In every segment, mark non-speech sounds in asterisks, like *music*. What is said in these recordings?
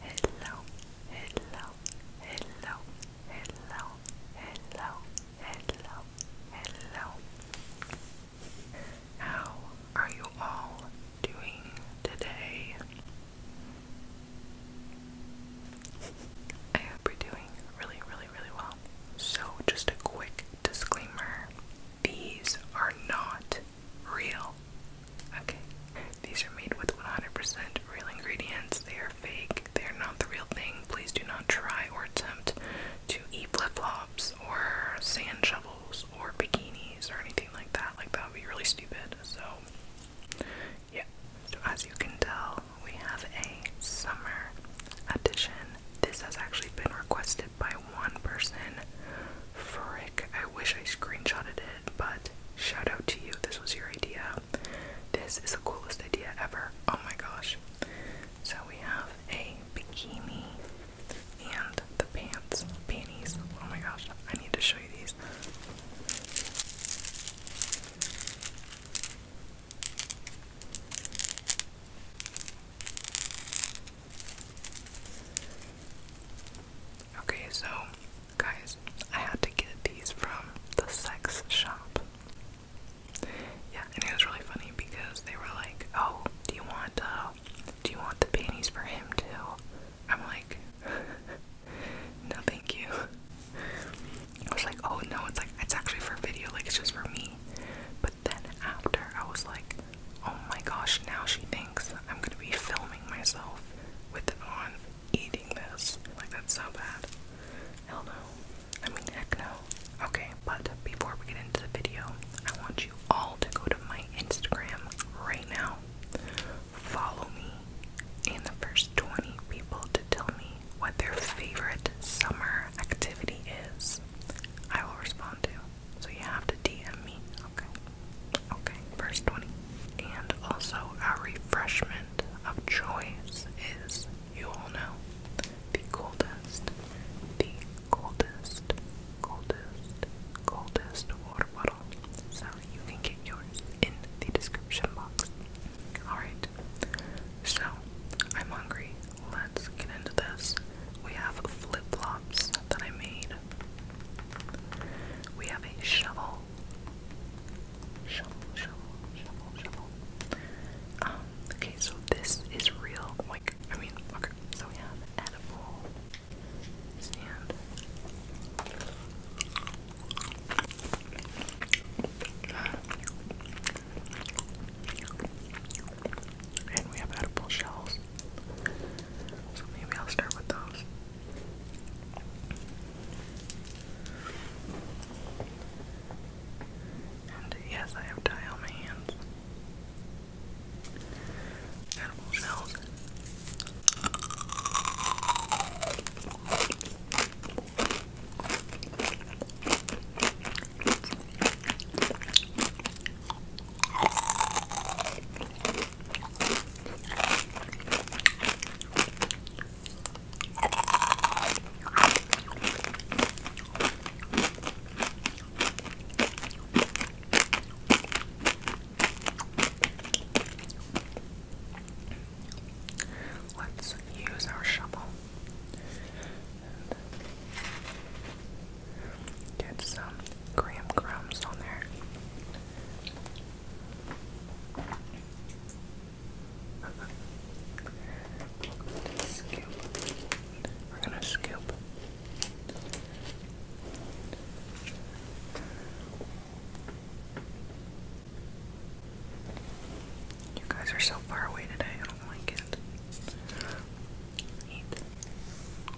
hello, hello, hello, hello, hello, hello, hello. How are you all doing today? I hope you're doing really, really, really well. So, just a quick disclaimer these are not real. Okay. These are made with 100% real ingredients. They are fake. They are not the real thing. Please do not try or attempt to eat flip flops or sand shovels or bikinis or anything like that. Like, that would be really stupid. So, yeah. So, as you can tell, we have a summer edition. This has actually been requested by one person. Frick, I wish I screenshotted but shout out to you. This was your idea. This is the coolest idea ever. Oh my gosh. So we have a bikini and the pants, panties. Oh my gosh, I need to show you these. Okay, so guys, I had to get these from the sex shop. Yeah, and it was really funny because they were like, "Oh, do you want uh, do you want the panties for him too?" I'm like, *laughs* "Nothing, you." I was like, "Oh no, it's like it's actually for a video, like it's just for me." But then after, I was like, Oh my gosh, now she thinks I'm gonna be filming myself with on eating this. Like, that's so bad. Hell no. I mean, heck no. Okay, but before we get into the video, I want you all to go to my Instagram right now. Follow me and the first 20 people to tell me what their favorite summer activity is. I will respond to. So you have to DM me. Okay. Okay, Verse 20. And also, our refreshment of choice is, you all know, the coldest, the coldest, coldest, coldest water bottle. So you can get yours in the description box. Alright, so I'm hungry. Let's get into this. We have flip flops that I made we have a shovel. Shovel, shovel, shovel, shovel. Um, okay, so this is real. Like, I mean, okay, so we have edible stand. And we have edible shells. So maybe I'll start with those. And yes, I have dye on my hands. Edible shells. Let's use our shovel. Get some graham crumbs on there. Scoop. We're gonna scoop. You guys are so far away today, I don't like it. Eat.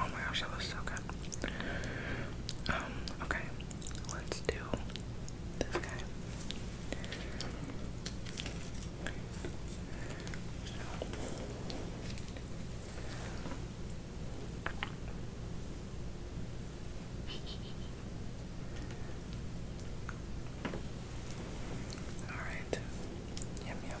Oh my gosh, that was so good. Um, okay, let's do this guy. All right. Yum yum.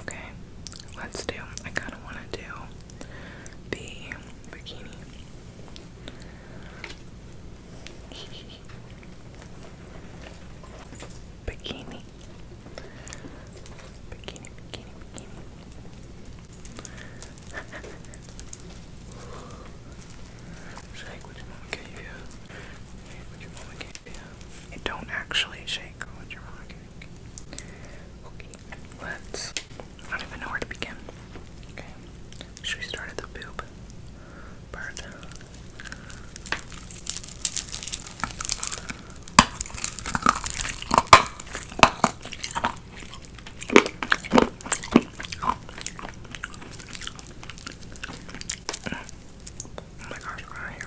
Okay, let's do. I kind of want to do the bikini. bikini. Bikini, bikini, bikini. shake what your mama gave you. Shake what your mama gave you. I don't actually shake what your mama Okay, let's. I don't even know where to begin. Okay, should we start at the boob part? Oh my gosh, I hear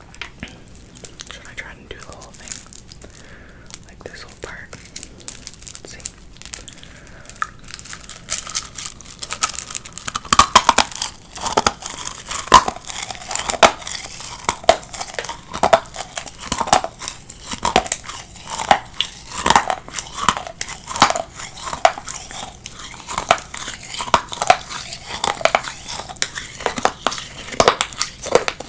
Should I try to do the whole thing? Like this whole part? see.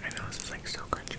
I know this is like so crunchy.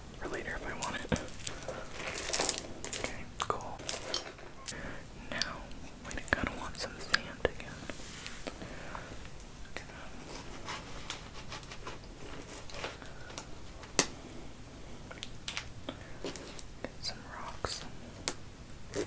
for later if I want it. Okay, cool. Now, wait, kind of want some sand again. Get some rocks. Okay.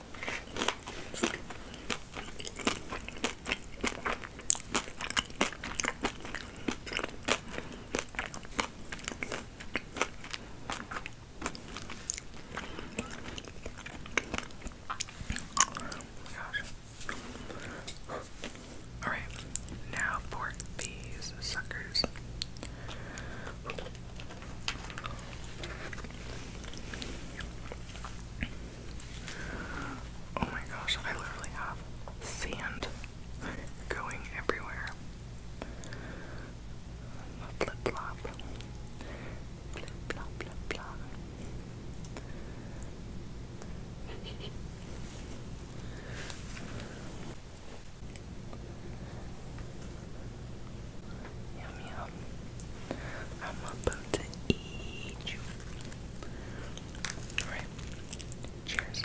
gosh. Alright, now for these suckers. Oh my gosh, I literally have sand going everywhere. Flip flop. Flip flop, flip flop. Yum yum. I'm about to eat you. Alright. Cheers.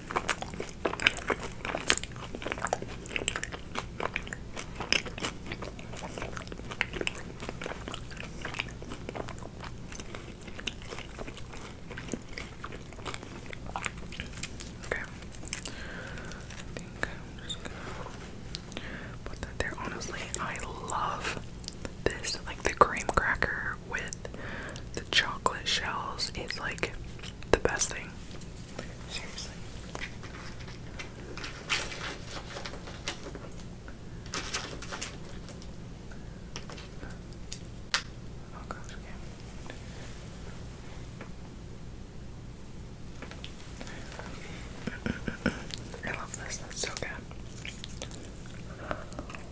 Okay. I think I'm just gonna put that there. Honestly, I love this. Like the cream cracker with the chocolate shells is like the best thing. Seriously. Oh, *laughs* I love this, that's so good.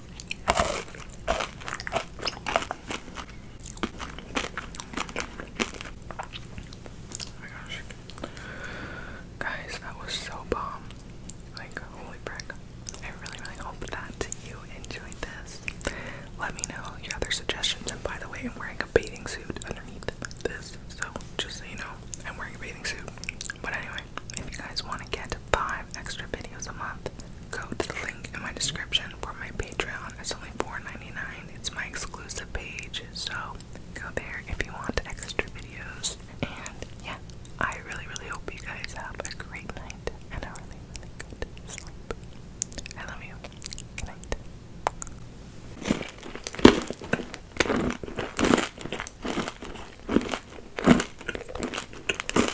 Guys, that was so bomb. Like, holy brick. I really, really hope that you enjoyed this. Let me know your other suggestions. And by the way, I'm wearing a bathing suit underneath this. So, just so you know, I'm wearing a bathing suit. But anyway, if you guys want to get five extra videos a month, Go to the link in my description for my Patreon. It's only $4.99. It's my exclusive page, so go there if you want extra videos. And yeah, I really, really hope you guys have a great night and a really, really good sleep. I love you. Good night.